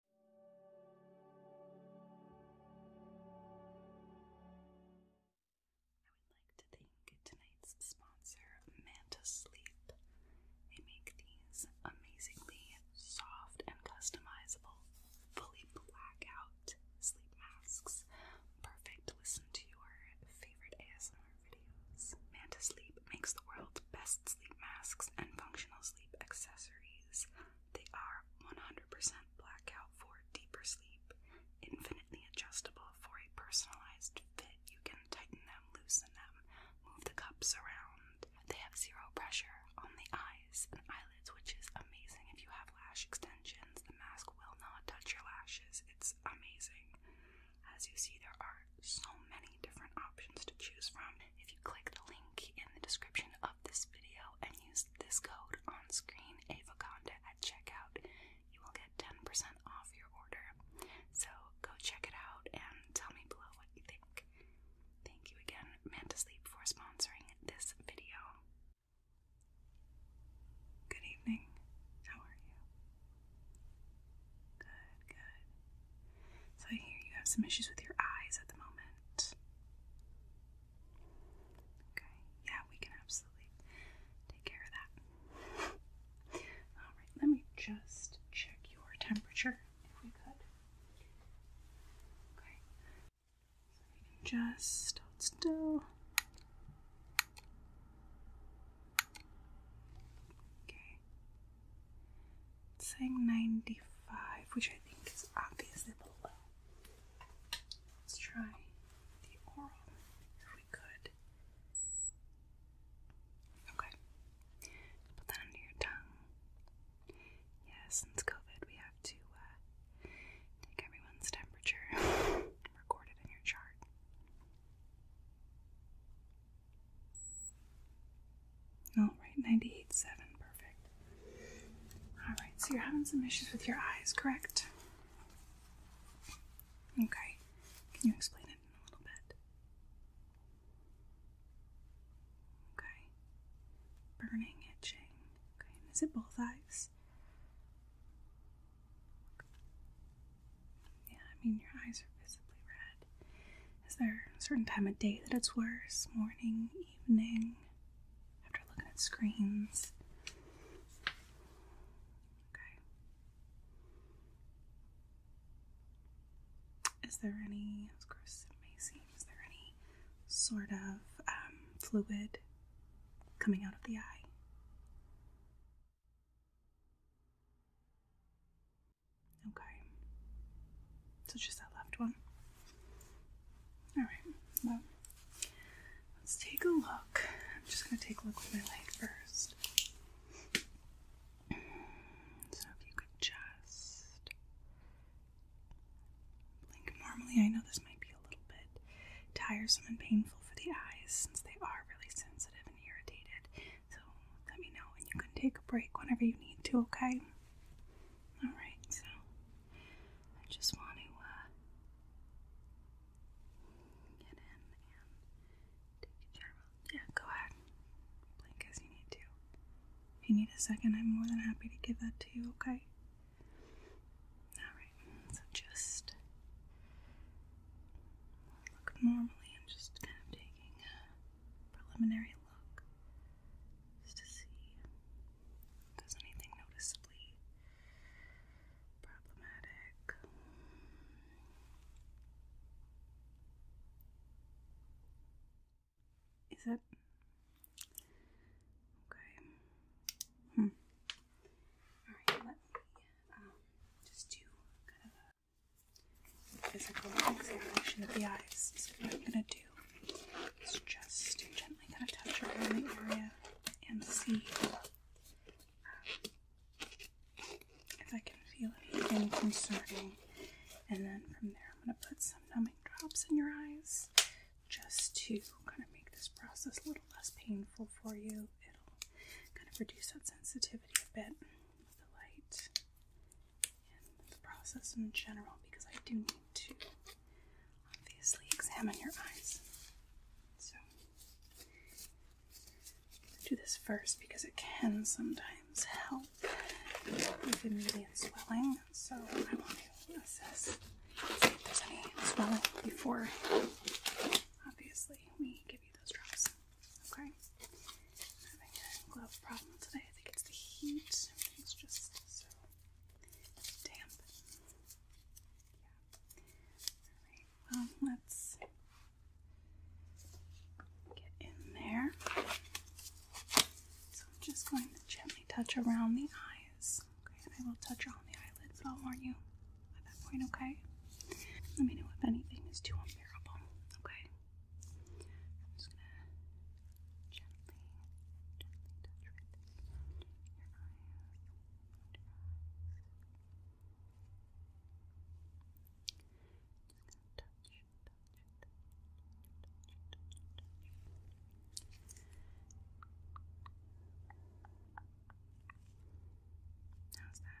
I would like to thank tonight's sponsor, Manta Sleep. They make these amazingly soft and customizable, fully blackout sleep masks, perfect to listen to your favorite ASMR videos. Manta Sleep makes the world's best sleep masks and functional sleep accessories. They are 100% blackout for deeper sleep, infinitely adjustable for a personalized fit. You can tighten them, loosen them, move the cups around. They have zero pressure on the eyes and eyelids, which is amazing if you have lash extensions. The mask will not touch your lashes. It's amazing. As you see, there are so many different options to choose from. If you click the link in the description of this video and use this code on screen, Avoconda, at checkout, you will get 10% off your order. So go check it out and tell me below what you think. Thank you again, Manta for sponsoring this video. Good evening. How are you? Good, good. So I hear you have some issues with your eyes at the moment. Okay, yeah, we can absolutely take care of that. All right, let me just check your temperature if we could. Okay, just still. Okay, it's saying 95, which I think is obviously below. Let's try the oral if we could. Okay. Put that under your tongue. Yeah, since COVID, we have to uh, take everyone's temperature and record it in your chart. All oh, right, right, ninety-eight-seven, perfect. All right, so you're having some issues with your eyes, correct? Okay, can you explain it in a little bit? Okay, burning, itching. Okay, and is it both eyes? Yeah, I mean, your eyes are visibly red. Is there a certain time of day that it's worse? Morning, evening? After looking at screens? Okay. Is there any, as gross it may there any sort of um, fluid coming out of the eye? Okay. So just that left one. Alright, well, let's take a look. I'm just going to take a look with my light first. So if you could just blink normally, I know this might be a little bit tiresome and painful for the eyes since they are really sensitive and irritated. So let me know, and you can take a break whenever you need to, okay? Alright, so I just want to uh, get in and take a shower. Yeah, go ahead. Blink as you need to. If you need a second, I'm more than happy to give that to you, okay? Alright, so just look normally. i just kind of taking preliminary look just to see if anything noticeably problematic. Is that okay? Hmm. All right, let me um, just do kind of a physical examination of the eyes. So what I'm gonna do is just gently kind of touch around the area and see um, if I can feel anything concerning. And then from there, I'm gonna put some numbing drops in your eyes just to kind of make this process a little less painful for you. It'll kind of reduce that sensitivity a bit with the light the process in general because I do need to obviously examine your eyes. So, do this first because it can sometimes help with immediate swelling. So, I want to assess see if there's any swelling before obviously we give you those drops. Okay. i having glove problem today. I think it's the heat. Everything's just so damp. Yeah. Alright, well, let's get in there. So I'm just going to gently touch around the eyes. Okay, I will touch on the eyelids, but I'll warn you at that point, okay? Let me know if anything is too unbearable, okay? I'm just gonna gently, gently touch right your eyes, around eyes. Just gonna touch, touch, touch, touch, touch. How's that?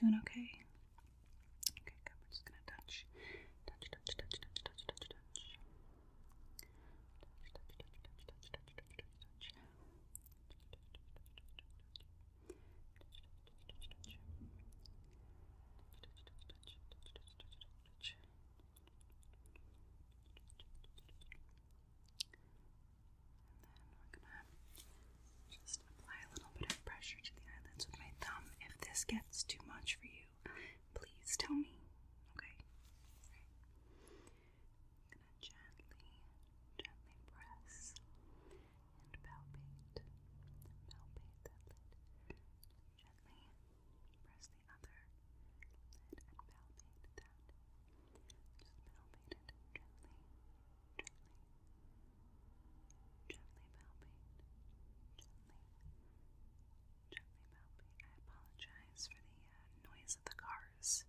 Doing okay? Okay, good. We're just gonna touch. Touch, touch, touch, touch, touch, touch, touch. Touch, touch, touch, touch, touch, touch, touch, touch, touch. And then we're gonna just apply a little bit of pressure to the eyelids with my thumb. If this gets too much for you, please tell me. Okay? I'm gonna gently, gently press and palpate. Palpate that lid. Gently press the other lid and palpate that. Just palpate it gently gently, gently palpate, gently, gently palpate. I apologize for the noise of the cars.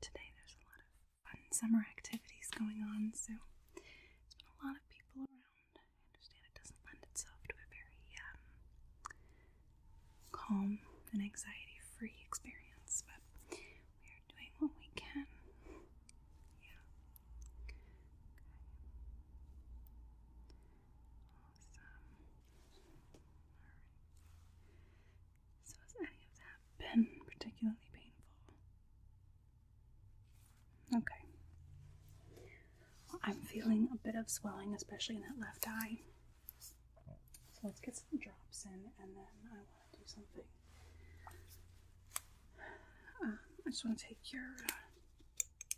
Today there's a lot of fun summer activities going on, so there's been a lot of people around. I understand it doesn't lend itself to a very calm and anxiety free experience, but doing what we can. Yeah. Awesome. Alright. So has any of that been particularly painful? Okay. I'm feeling a bit of swelling, especially in that left eye. So let's get some drops in and then I do something. Um, I just want to take your.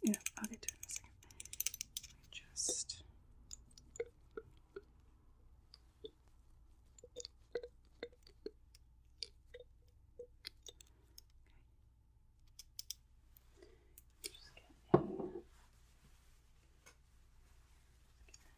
you know, I'll get to it in a second. Just.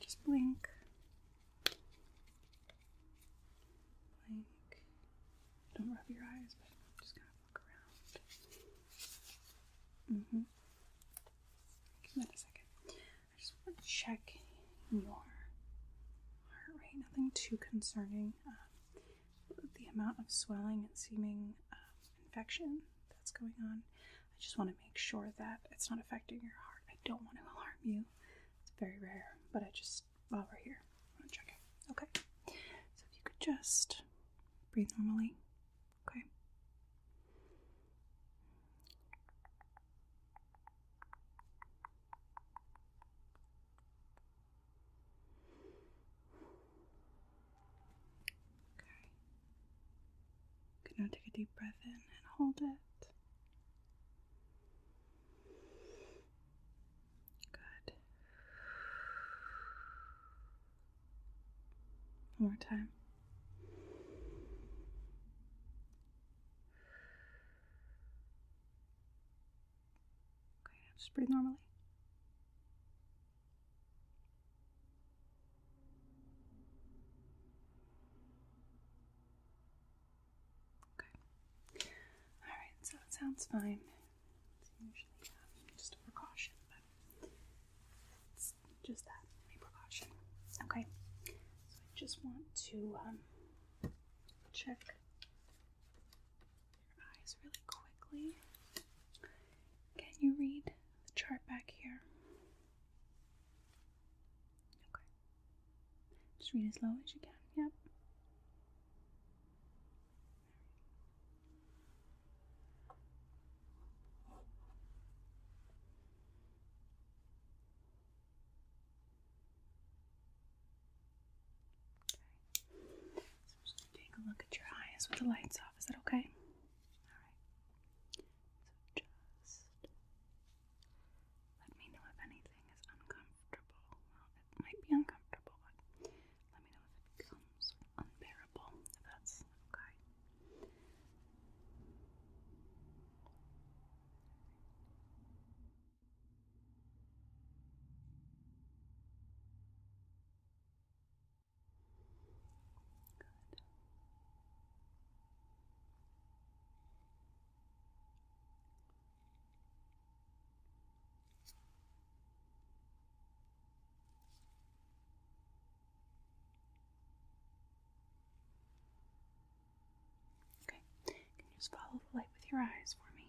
Just blink. Blink. Don't rub your eyes, but just gonna look around. Mm-hmm. Give that a second. I just want to check your heart rate. Nothing too concerning. Um, the amount of swelling and seeming um, infection that's going on. I just want to make sure that it's not affecting your heart. I don't want to alarm you. It's very rare, but I just, while we're here, I want to Okay. So if you could just breathe normally. Okay. Okay. Good now take a deep breath in and hold it. Good. One more time. Okay, just breathe normally. Okay. All right, so it sounds fine. usually uh, just a precaution, but just that, a precaution. Okay. So I just want to um, check eyes really quickly. Can you read the chart back here? Okay. Just read as low as you can. Yep. So I'm just gonna take a look at your eyes with the lights off. Is that okay? Alright. So just let me know if anything is uncomfortable. might be uncomfortable, let me know if it becomes unbearable, if that's okay. Good. Okay, can you just follow the light with your eyes for me?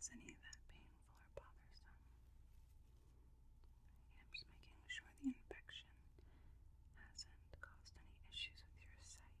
Is any of that painful or bothersome? I'm just making sure the infection hasn't caused any issues with your sight.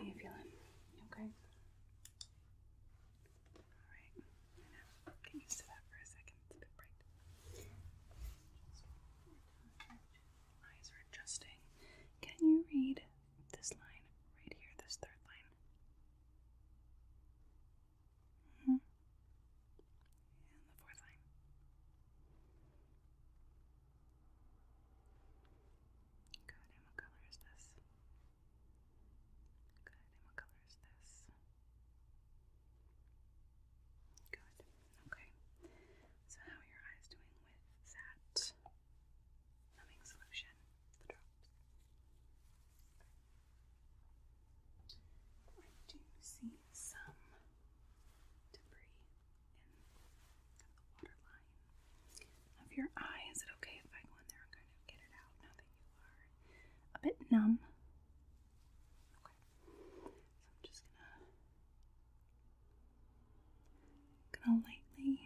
Okay. How you feeling? You okay? Alright. Now, can you sit up for a second? It's a bit bright eyes are adjusting. Can you read this line right here, this third line? -hmm. And the fourth line. Good, and what color is this? Good, and what color is this? Good. Okay. So how are your eyes doing with that numbing solution? The drops. I do see some debris in the waterline of your eye. Is it okay if I go in there and kind of get it out now that you are a bit numb? Okay. So I'm just gonna gonna lightly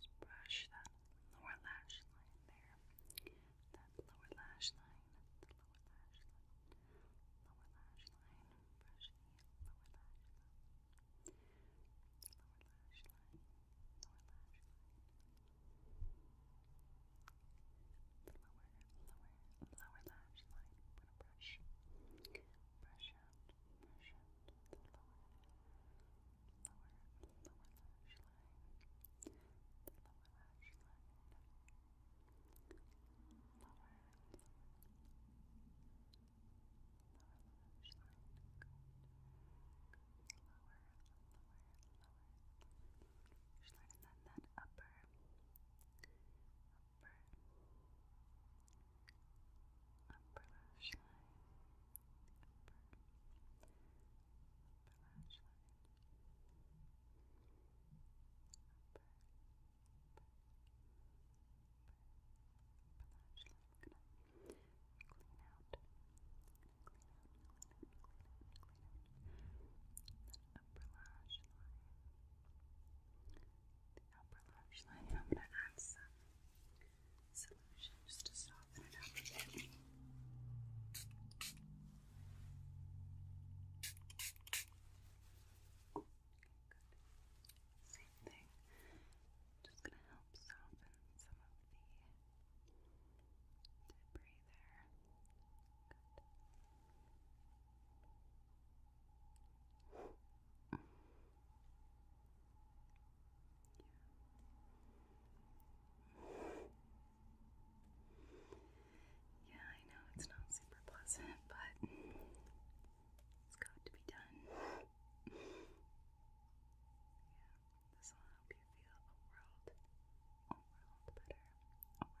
just brush that lower lash line there. That lower lash line, lower lash line, lower lash line, lower lash line, lower lash line, lower lash line, lower, lower lash line. I'm going to brush, brush out, brush out lower, lower, lower lash line, lower lash line, lower, lower, lash line. Good, good, lower, lower, lower. Just lighten that, that upper upper, upper lash line, upper, upper lash line, upper, upper, upper, lash line. clean out, clean out, clean out, clean out, clean upper lash line the upper lash line. I'm going to add some solution just to soften it up a bit. Same thing. Just going to help soften some of the debris there. Yeah. I know it's not super pleasant, but it's got to be done. yeah, this will help you feel a world, a world better, a world better,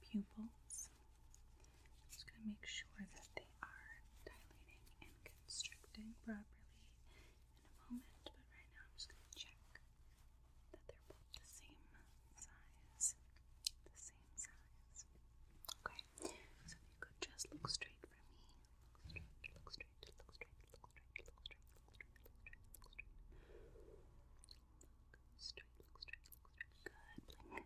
pupils. I'm just going to make sure that they are dilating and constricting properly in a moment, but right now I'm just going to check that they're both the same size. The same size. Okay, so you could just look straight for me. look straight, look straight, look straight, look straight, look straight, look straight, look straight, look straight straight, straight, straight. Good, other eye.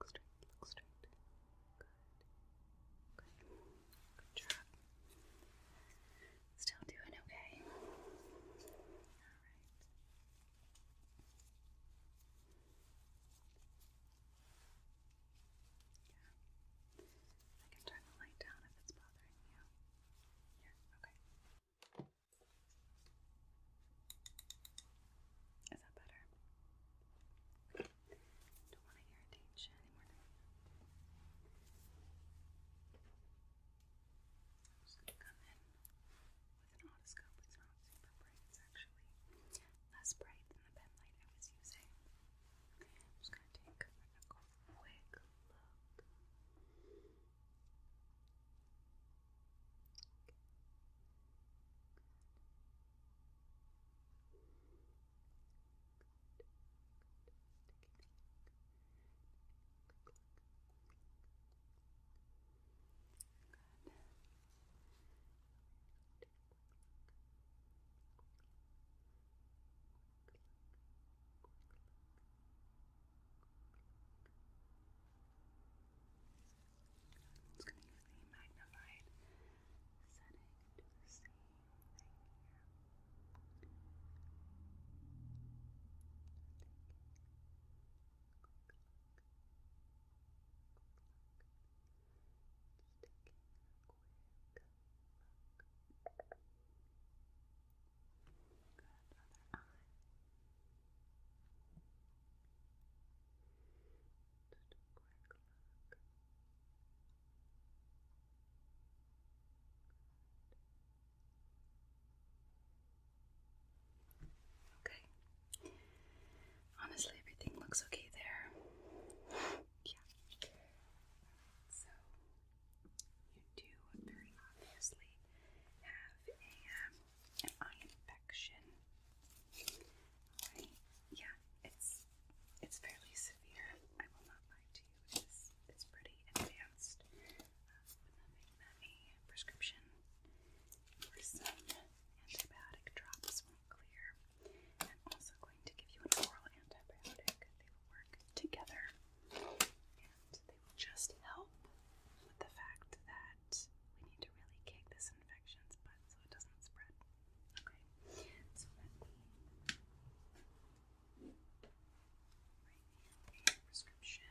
Look straight, look straight, look straight, straight, straight. Good, good, good job. Still doing okay. Alright. Yeah. I can turn the light down if it's bothering you. Here, okay. Is that better? Don't want to irritate anymore. I'm just gonna come in with an otoscope. It's not super bright. It's actually less bright than the pen light I was using. I'm just going to take a quick look. I'm just going to use the magnified setting to do the same thing here. Quick look. Quick look. Quick look. Just taking a quick look. Grab other eye. Just a quick look. Good. Okay. Honestly, everything looks okay there. yeah. So, you do very obviously have a, um, an eye infection. Yeah, it's it's fairly severe. I will not lie to you. It's it's pretty advanced. Um, but nothing a prescription or some antibiotic drops will clear. I'm also going to give you an oral antibiotic. They will work together and they will just help with the fact that we need to really kick this infection's butt so it doesn't spread. Okay, so let me write you prescription.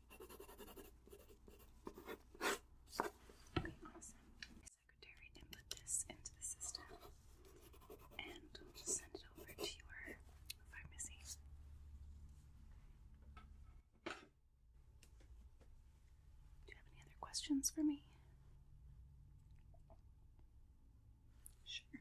Okay, awesome. Secretary input this into the system and send it over to your pharmacy. Do you have any other questions for me? Sure.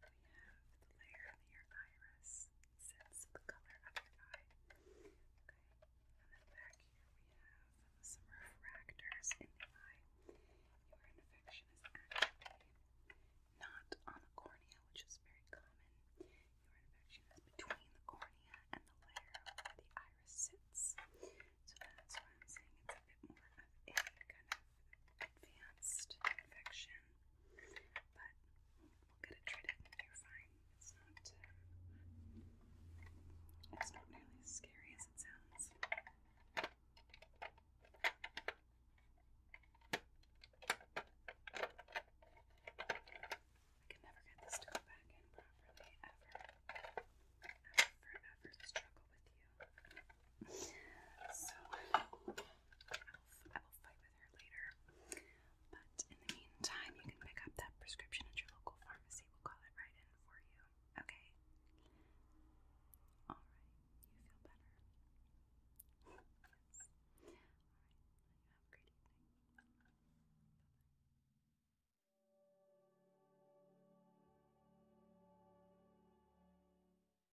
then behind it we have the layer near your iris. Sets the color of your eye. Okay. And then back here we have some refractors in the eye. Your infection is actually not on the cornea, which is very common. Your infection is between the cornea and the layer where the iris sits. So that's why I'm saying it's a bit more of a kind of advanced infection, but we'll get it treated you're fine. It's not, uh, it's not nearly as scary as it sounds. I can never get this to back in properly ever. I will forever struggle with you. So I will, I will fight with her later. But in the meantime, you can pick up that prescription at your local pharmacy. We'll call it right in for you. Okay? Alright, you feel better. yes. Alright, you have a great evening. Bye.